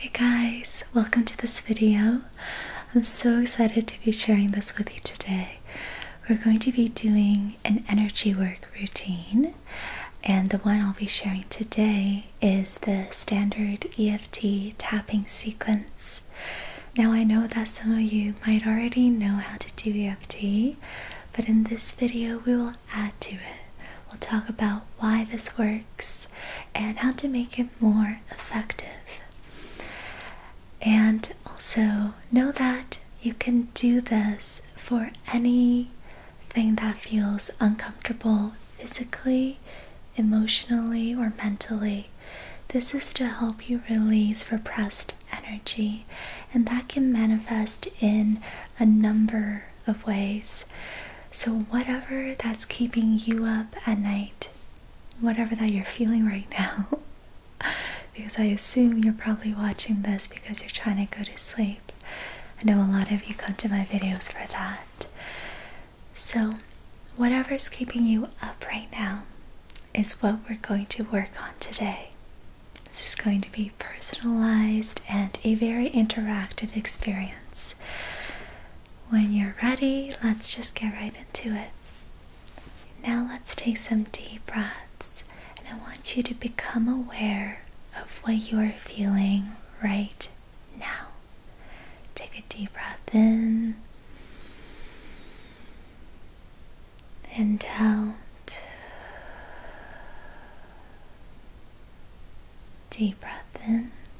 Hey guys, welcome to this video. I'm so excited to be sharing this with you today. We're going to be doing an energy work routine, and the one I'll be sharing today is the standard EFT tapping sequence. Now, I know that some of you might already know how to do EFT, but in this video, we will add to it. We'll talk about why this works and how to make it more effective. And also know that you can do this for anything that feels uncomfortable physically, emotionally, or mentally. This is to help you release repressed energy, and that can manifest in a number of ways. So, whatever that's keeping you up at night, whatever that you're feeling right now, because I assume you're probably watching this because you're trying to go to sleep. I know a lot of you come to my videos for that. So, whatever's keeping you up right now is what we're going to work on today. This is going to be personalized and a very interactive experience. When you're ready, let's just get right into it. Now, let's take some deep breaths, and I want you to become aware of what you are feeling right now. Take a deep breath in and out. Deep breath in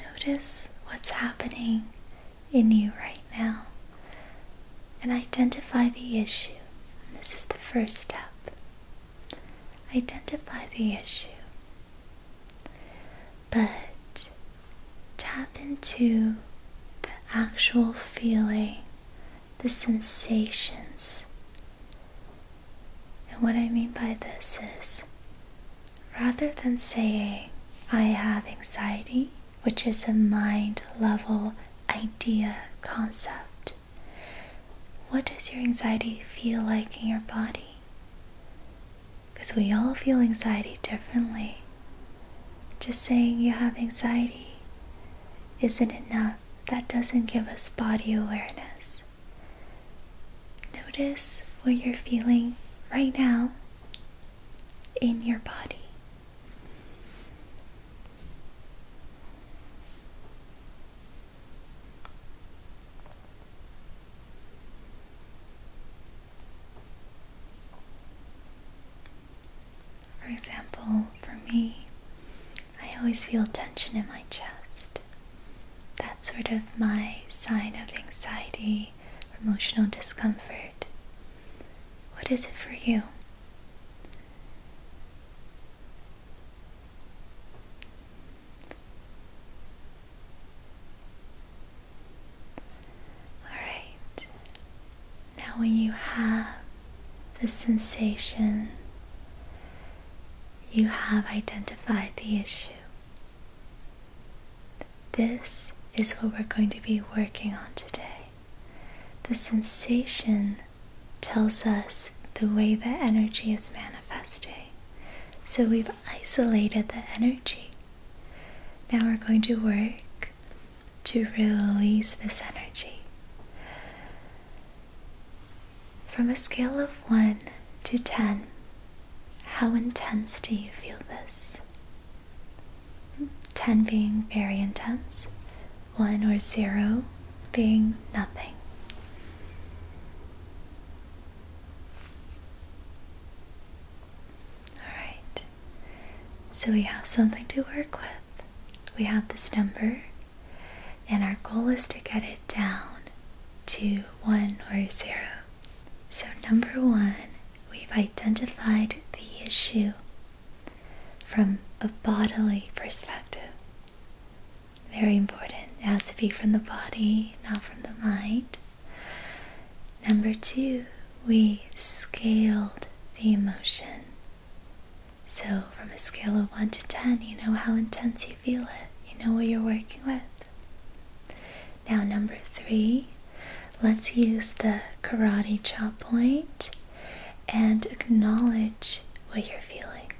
Notice what's happening in you right now and identify the issue. this is the first step. Identify the issue. But tap into the actual feeling, the sensations and what I mean by this is rather than saying, I have anxiety, which is a mind level idea concept, what does your anxiety feel like in your body? Because we all feel anxiety differently. Just saying you have anxiety isn't enough. That doesn't give us body awareness. Notice what you're feeling right now in your body. For example, for me, I always feel tension in my chest. That's sort of my sign of anxiety, emotional discomfort. What is it for you? Alright, now when you have the sensation, you have identified the issue. This is what we're going to be working on today. The sensation tells us the way that energy is manifesting. So we've isolated the energy. Now we're going to work to release this energy. From a scale of 1 to 10, how intense do you feel this? 10 being very intense, 1 or 0 being nothing. Alright, so we have something to work with. We have this number and our goal is to get it down to one or zero. So, number one, we've identified the issue from a bodily perspective. Very important. It has to be from the body, not from the mind. Number two, we scaled the emotion. So, from a scale of 1 to 10, you know how intense you feel it, you know what you're working with. Now, number three, let's use the karate chop point and acknowledge what you're feeling.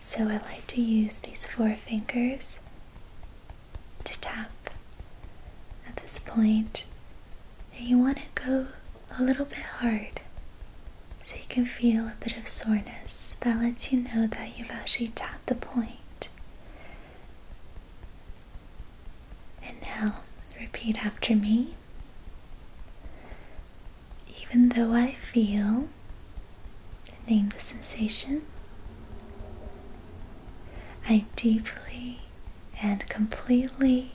So, I like to use these four fingers to tap at this And you want to go a little bit hard so you can feel a bit of soreness that lets you know that you've actually tapped the point. And now repeat after me. Even though I feel, name the sensation. I deeply and completely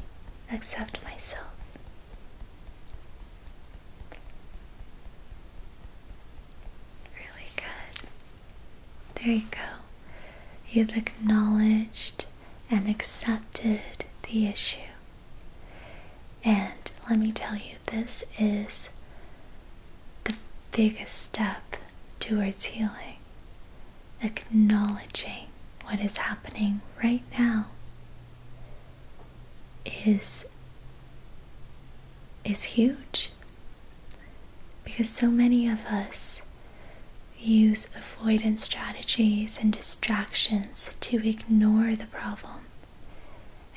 accept myself. Really good. There you go. You've acknowledged and accepted the issue. And let me tell you, this is the biggest step towards healing. Acknowledging what is happening right now is is huge because so many of us use avoidance strategies and distractions to ignore the problem.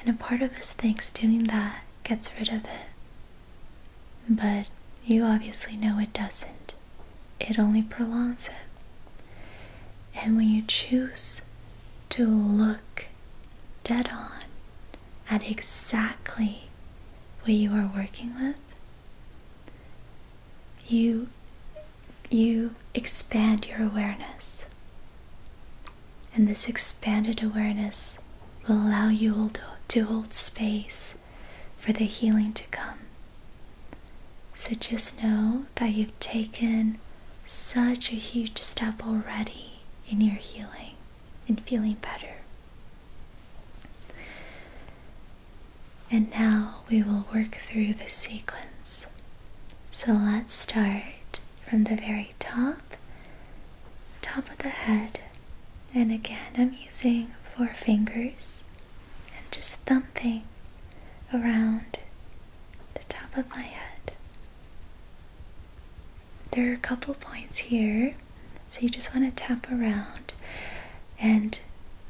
And a part of us thinks doing that gets rid of it. But you obviously know it doesn't, it only prolongs it. And when you choose to look dead on at exactly what you are working with, you, you expand your awareness. And this expanded awareness will allow you to hold space for the healing to come. So just know that you've taken such a huge step already in your healing and feeling better. And now we will work through the sequence. So let's start from the very top, top of the head. And again, I'm using four fingers and just thumping around the top of my head. There are a couple points here, so you just want to tap around, and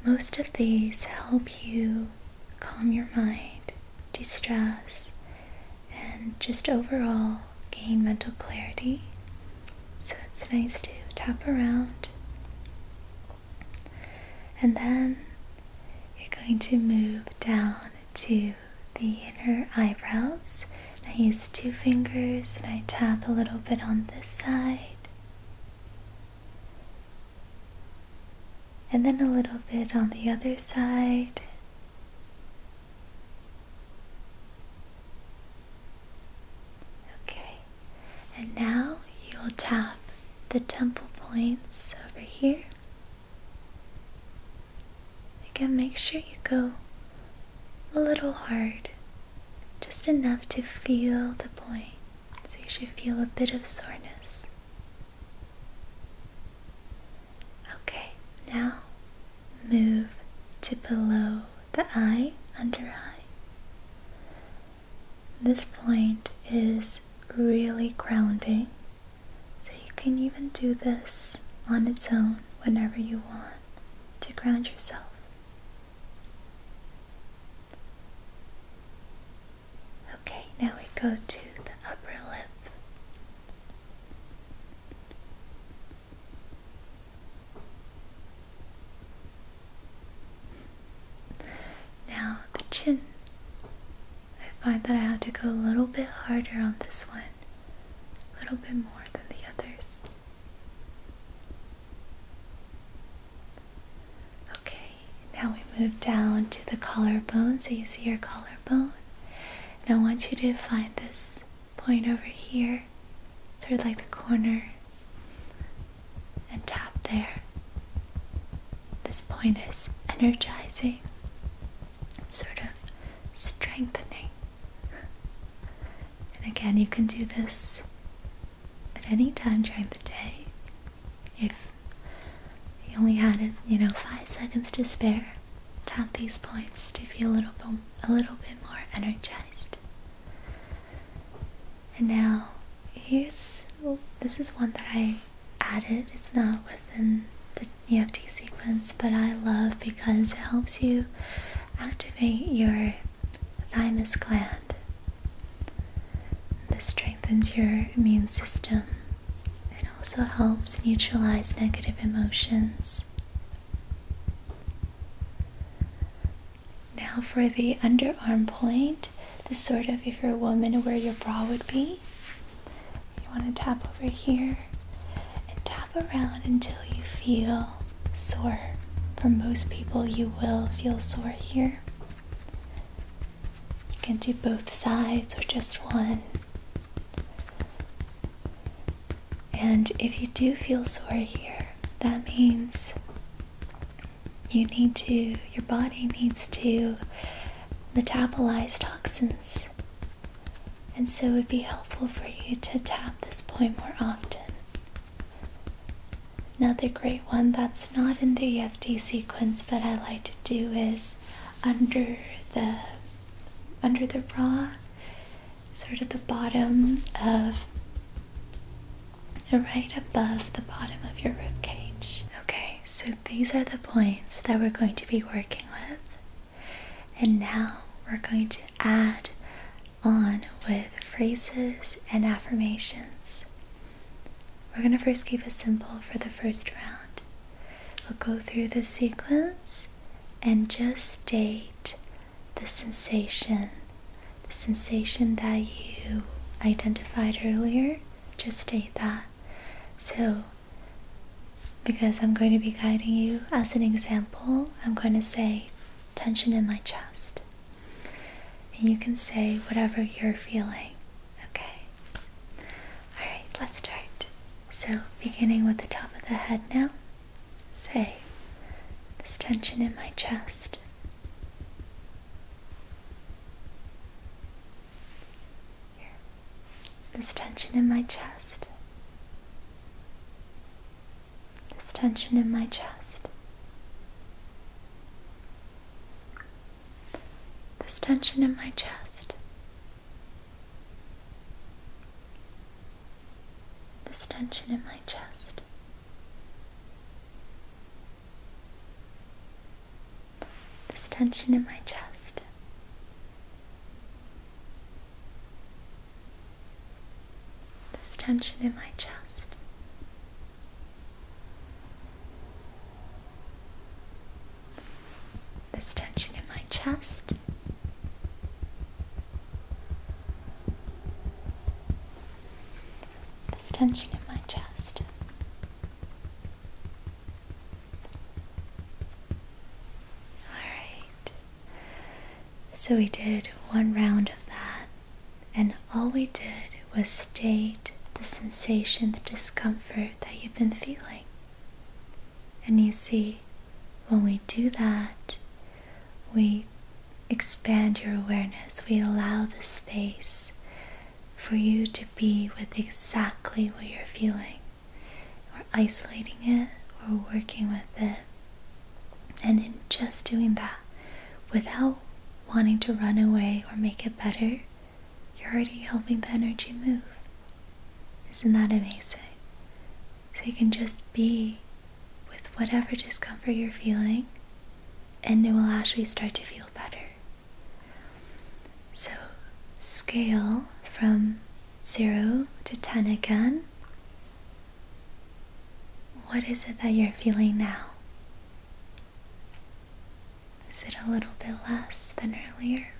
most of these help you calm your mind, de stress, and just overall gain mental clarity. So it's nice to tap around. And then you're going to move down to the inner eyebrows. I use two fingers and I tap a little bit on this side, and then a little bit on the other side. Okay, and now you'll tap the temple points over here Again, make sure you go a little hard, just enough to feel the point. So you should feel a bit of soreness. Okay, now move to below the eye, under eye. This point is really grounding so you can even do this on its own whenever you want to ground yourself. Okay, now we go to the upper lip. Now the chin. I find that I had to go a little bit harder on this one, a little bit more than the others. Okay, now we move down to the collarbone. So you see your collarbone. Now I want you to find this point over here, sort of like the corner, and tap there. This point is energizing, sort of strengthening. And again, you can do this at any time during the day. If you only had, you know, five seconds to spare, tap these points to feel a little bit, a little bit more energized. And now, here's this is one that I added. It's not within the EFT sequence, but I love because it helps you activate your thymus gland. This strengthens your immune system. It also helps neutralize negative emotions. Now for the underarm point, the sort of, if you're a woman, where your bra would be. You want to tap over here and tap around until you feel sore. For most people, you will feel sore here. You can do both sides or just one. And if you do feel sore here, that means you need to, your body needs to metabolize toxins. And so it would be helpful for you to tap this point more often. Another great one that's not in the EFT sequence, but I like to do is under the under the bra, sort of the bottom of right above the bottom of your rib cage. Okay, so these are the points that we're going to be working with. And now we're going to add on with phrases and affirmations. We're going to first keep it simple for the first round. We'll go through the sequence and just state the sensation, the sensation that you identified earlier, just state that. So, because I'm going to be guiding you as an example, I'm going to say tension in my chest. And you can say whatever you're feeling, okay? Alright, let's start. So, beginning with the top of the head now, say this tension in my chest. This tension in my chest. This tension in my chest. This tension in my chest. This tension in my chest this tension in my chest. This tension in my chest. This tension in my chest. This tension in my chest. Alright. So we did one round of that, and all we did was state the sensation, the discomfort that you've been feeling. And you see, when we do that, we expand your awareness, we allow the space for you to be with exactly what you're feeling. We're isolating it, we're working with it. And in just doing that, without wanting to run away or make it better, you're already helping the energy move. Isn't that amazing? So you can just be with whatever discomfort you're feeling, and it will actually start to feel better. So, scale from 0 to 10 again. What is it that you're feeling now? Is it a little bit less than earlier?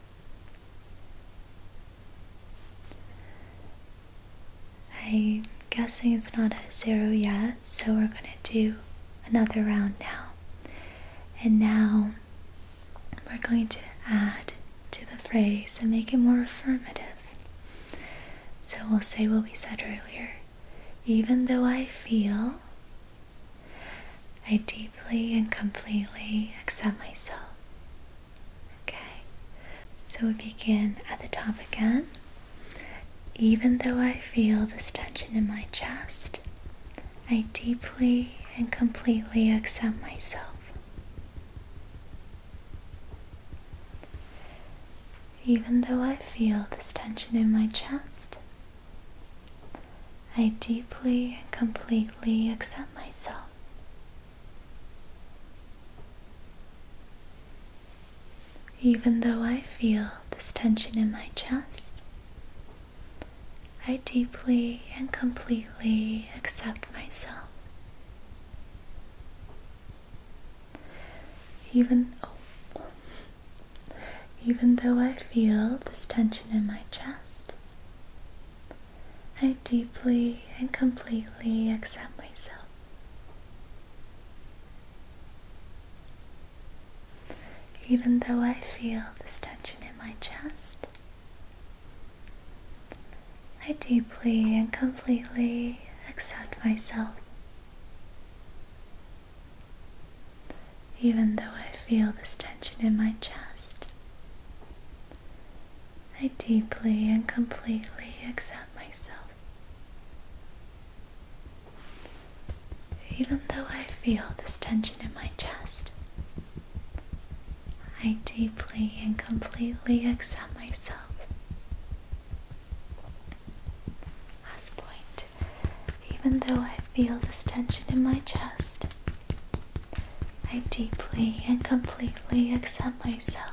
I'm guessing it's not at zero yet so we're gonna do another round now. And now we're going to add to the phrase and make it more affirmative. So we'll say what we said earlier. Even though I feel, I deeply and completely accept myself. Okay, so we begin at the top again. Even though I feel this tension in my chest, I deeply and completely accept myself. Even though I feel this tension in my chest, I deeply and completely accept myself. Even though I feel this tension in my chest, I deeply and completely accept myself. Even oh, even though I feel this tension in my chest, I deeply and completely accept myself. Even though I feel this tension in my chest, I deeply and completely accept myself. Even though I feel this tension in my chest, I deeply and completely accept myself. Even though I feel this tension in my chest, I deeply and completely accept myself. Last point. Even though I feel this tension in my chest, I deeply and completely accept myself.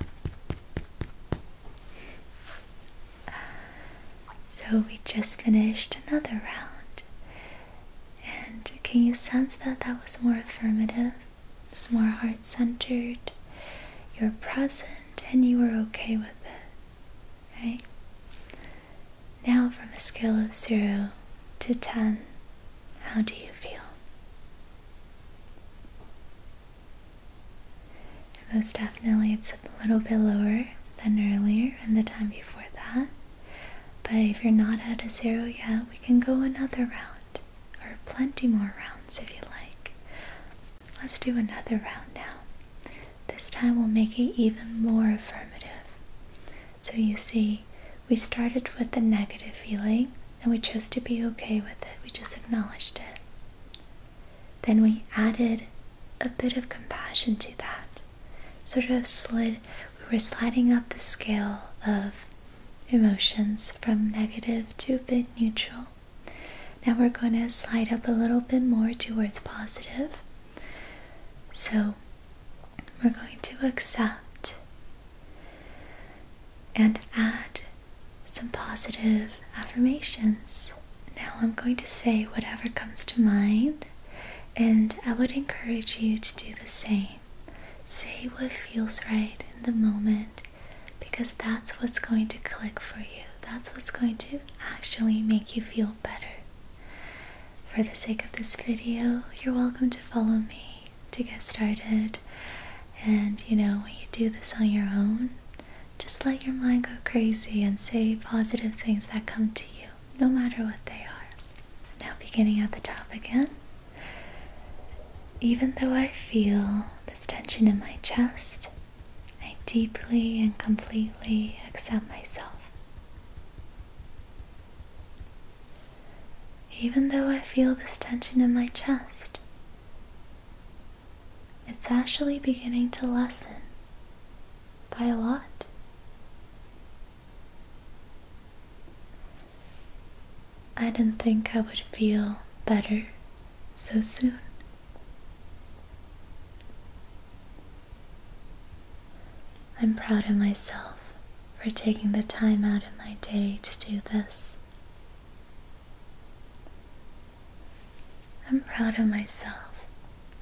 So we just finished another round. And can you sense that that was more affirmative? It's more heart centered. You're present and you were okay with it, right? Now, from a scale of 0 to 10, how do you feel? Most definitely, it's a little bit lower than earlier and the time before that. But if you're not at a zero yet, we can go another round or plenty more rounds if you like. Let's do another round now. This time we'll make it even more affirmative. So you see, we started with the negative feeling and we chose to be okay with it, we just acknowledged it. Then we added a bit of compassion to that. Sort of slid, we were sliding up the scale of emotions from negative to a bit neutral. Now we're going to slide up a little bit more towards positive. So we're going to accept and add some positive affirmations. Now I'm going to say whatever comes to mind, and I would encourage you to do the same. Say what feels right in the moment because that's what's going to click for you. That's what's going to actually make you feel better. For the sake of this video, you're welcome to follow me to get started. And you know, when you do this on your own, just let your mind go crazy and say positive things that come to you, no matter what they are. Now, beginning at the top again. Even though I feel this tension in my chest, I deeply and completely accept myself. Even though I feel this tension in my chest, it's actually beginning to lessen by a lot. I didn't think I would feel better so soon. I'm proud of myself for taking the time out of my day to do this. I'm proud of myself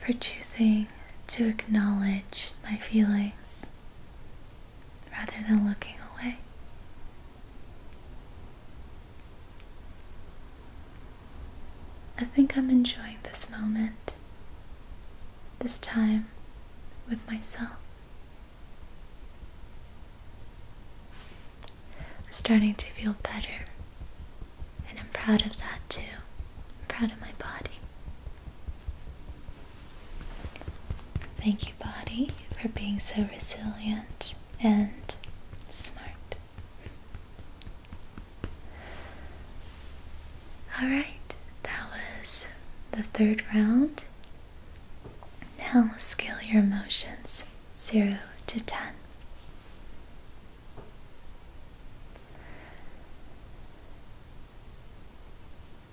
for choosing to acknowledge my feelings rather than looking away. I think I'm enjoying this moment, this time with myself. I'm starting to feel better. And I'm proud of that too. I'm proud of my body. Thank you, body, for being so resilient and smart. Alright, that was the third round. Now, scale your emotions. 0 to 10.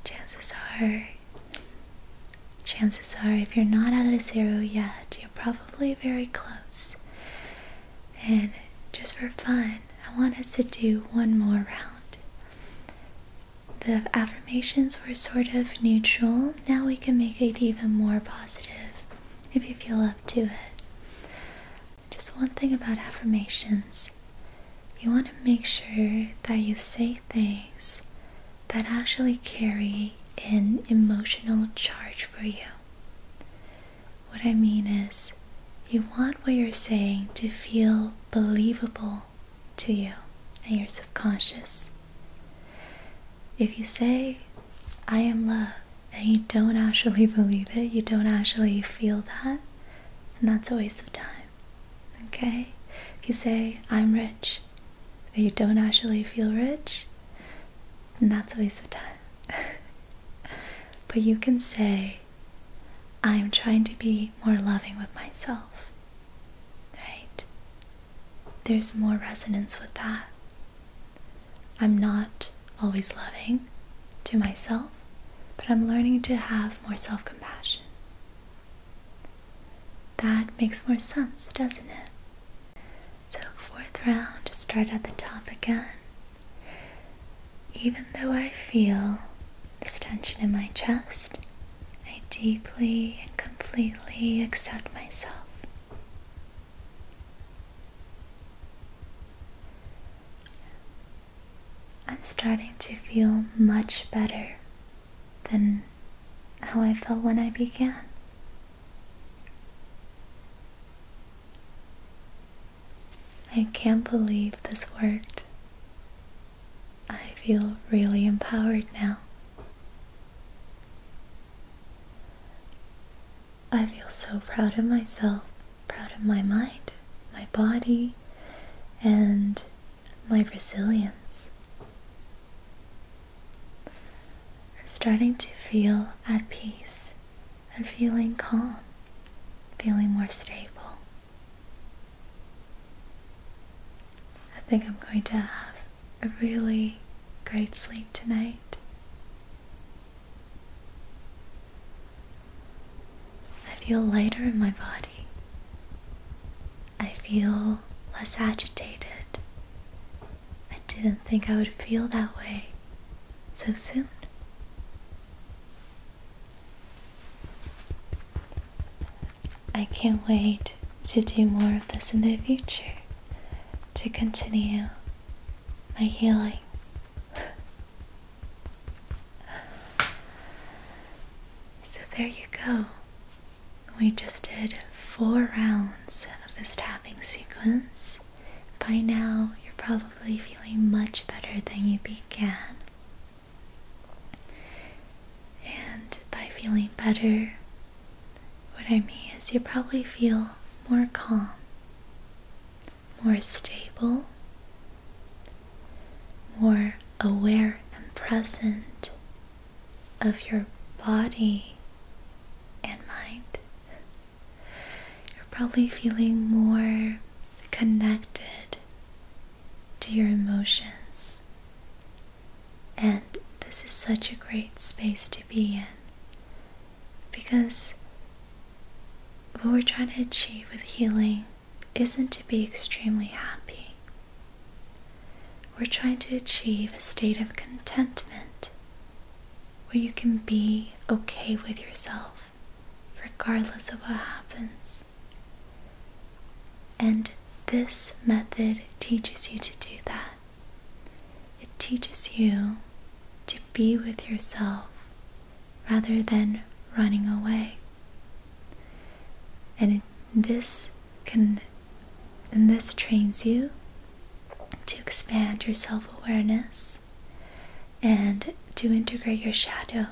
Chances are, chances are, if you're not at a 0 yet, you're probably very close. And just for fun, I want us to do one more round. The affirmations were sort of neutral. Now we can make it even more positive if you feel up to it. Just one thing about affirmations you want to make sure that you say things that actually carry an emotional charge for you. What I mean is, you want what you're saying to feel believable to you and your subconscious. If you say, I am love, and you don't actually believe it, you don't actually feel that, and that's a waste of time. Okay? If you say, I'm rich, and you don't actually feel rich, and that's a waste of time. but you can say, I'm trying to be more loving with myself. Right? there's more resonance with that. I'm not always loving to myself, but I'm learning to have more self compassion. That makes more sense, doesn't it? So, fourth round, start at the top again. Even though I feel this tension in my chest, I deeply and completely accept myself. I'm starting to feel much better than how I felt when I began. I can't believe this worked. I feel really empowered now. I feel so proud of myself, proud of my mind, my body, and my resilience. I'm starting to feel at peace. I'm feeling calm, feeling more stable. I think I'm going to have a really great sleep tonight. I feel lighter in my body. I feel less agitated. I didn't think I would feel that way so soon. I can't wait to do more of this in the future to continue my healing. so there you go. We just did four rounds of this tapping sequence. By now, you're probably feeling much better than you began. And by feeling better, what I mean is you probably feel more calm, more stable, more aware and present of your body and mind. You're probably feeling more connected to your emotions and this is such a great space to be in because what we're trying to achieve with healing isn't to be extremely happy. We're trying to achieve a state of contentment where you can be okay with yourself regardless of what happens. And this method teaches you to do that. It teaches you to be with yourself rather than running away. And this can and this trains you to expand your self-awareness and to integrate your shadow.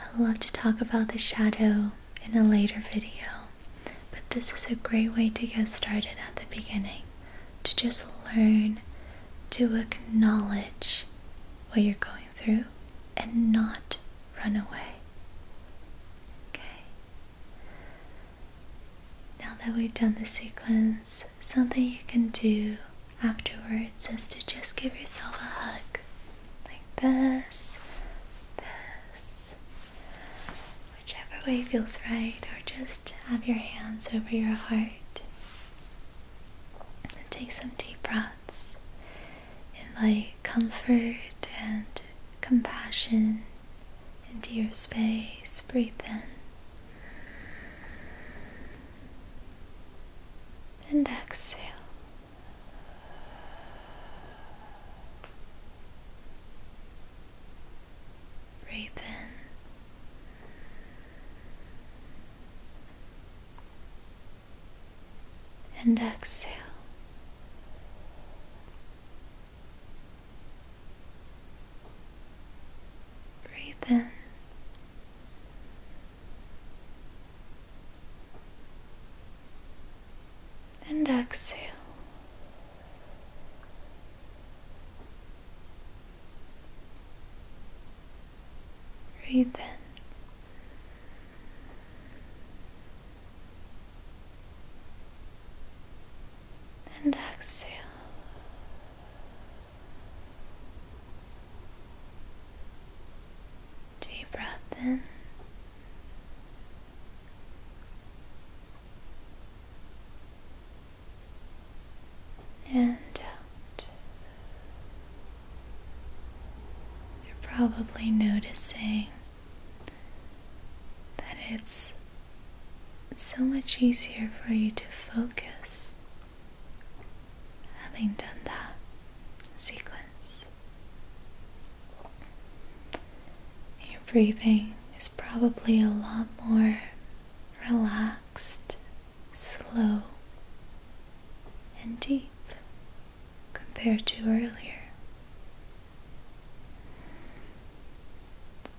I love to talk about the shadow in a later video, but this is a great way to get started at the beginning to just learn to acknowledge what you're going through and not run away. Okay. Now that we've done the sequence, something you can do afterwards is to just give yourself a hug like this, this, whichever way feels right, or just have your hands over your heart. And take some deep breaths. In, Invite comfort and compassion into your space. Breathe in. And exhale. Raven. And exhale. Breathe in and exhale. Breathe in. And exhale. Deep breath in and You're probably noticing that it's so much easier for you to focus having done that sequence. Your breathing is probably a lot more relaxed, slow, and deep compared to earlier.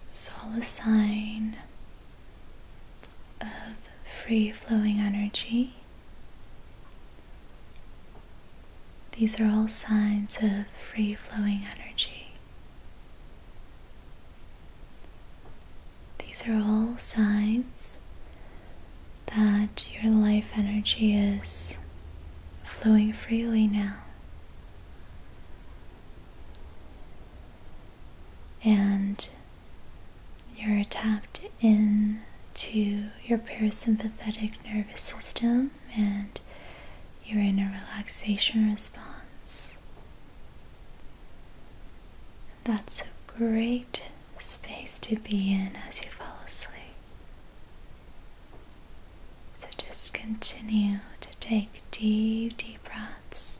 It's all a sign of free flowing energy these are all signs of free flowing energy. These are all signs that your life energy is flowing freely now. And you're tapped into your parasympathetic nervous system and you're in a relaxation response. That's a great space to be in as you fall asleep. So just continue to take deep, deep breaths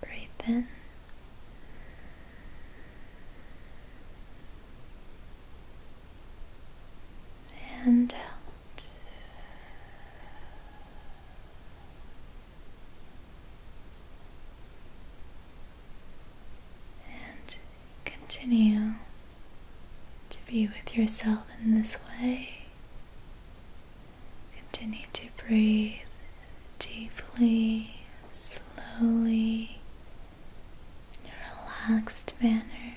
Breathe in. And out. And continue to be with yourself in this way Continue to breathe deeply, slowly, in a relaxed manner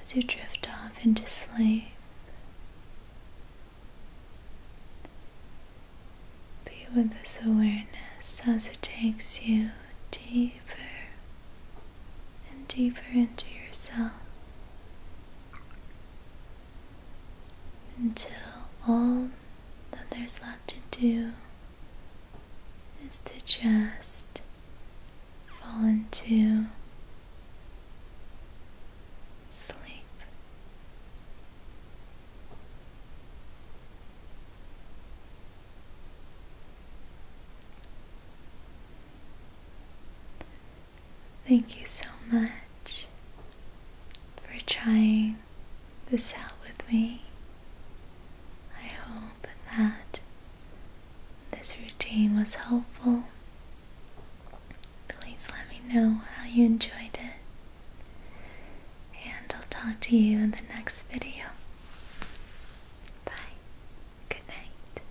as you drift off into sleep. Be with this awareness as it takes you deeper and deeper into yourself until all that there's left to do is to just fall into sleep. Thank you so much for trying this out with me. I hope that this routine was helpful. Please let me know how you enjoyed it. And I'll talk to you in the next video. Bye. Good night.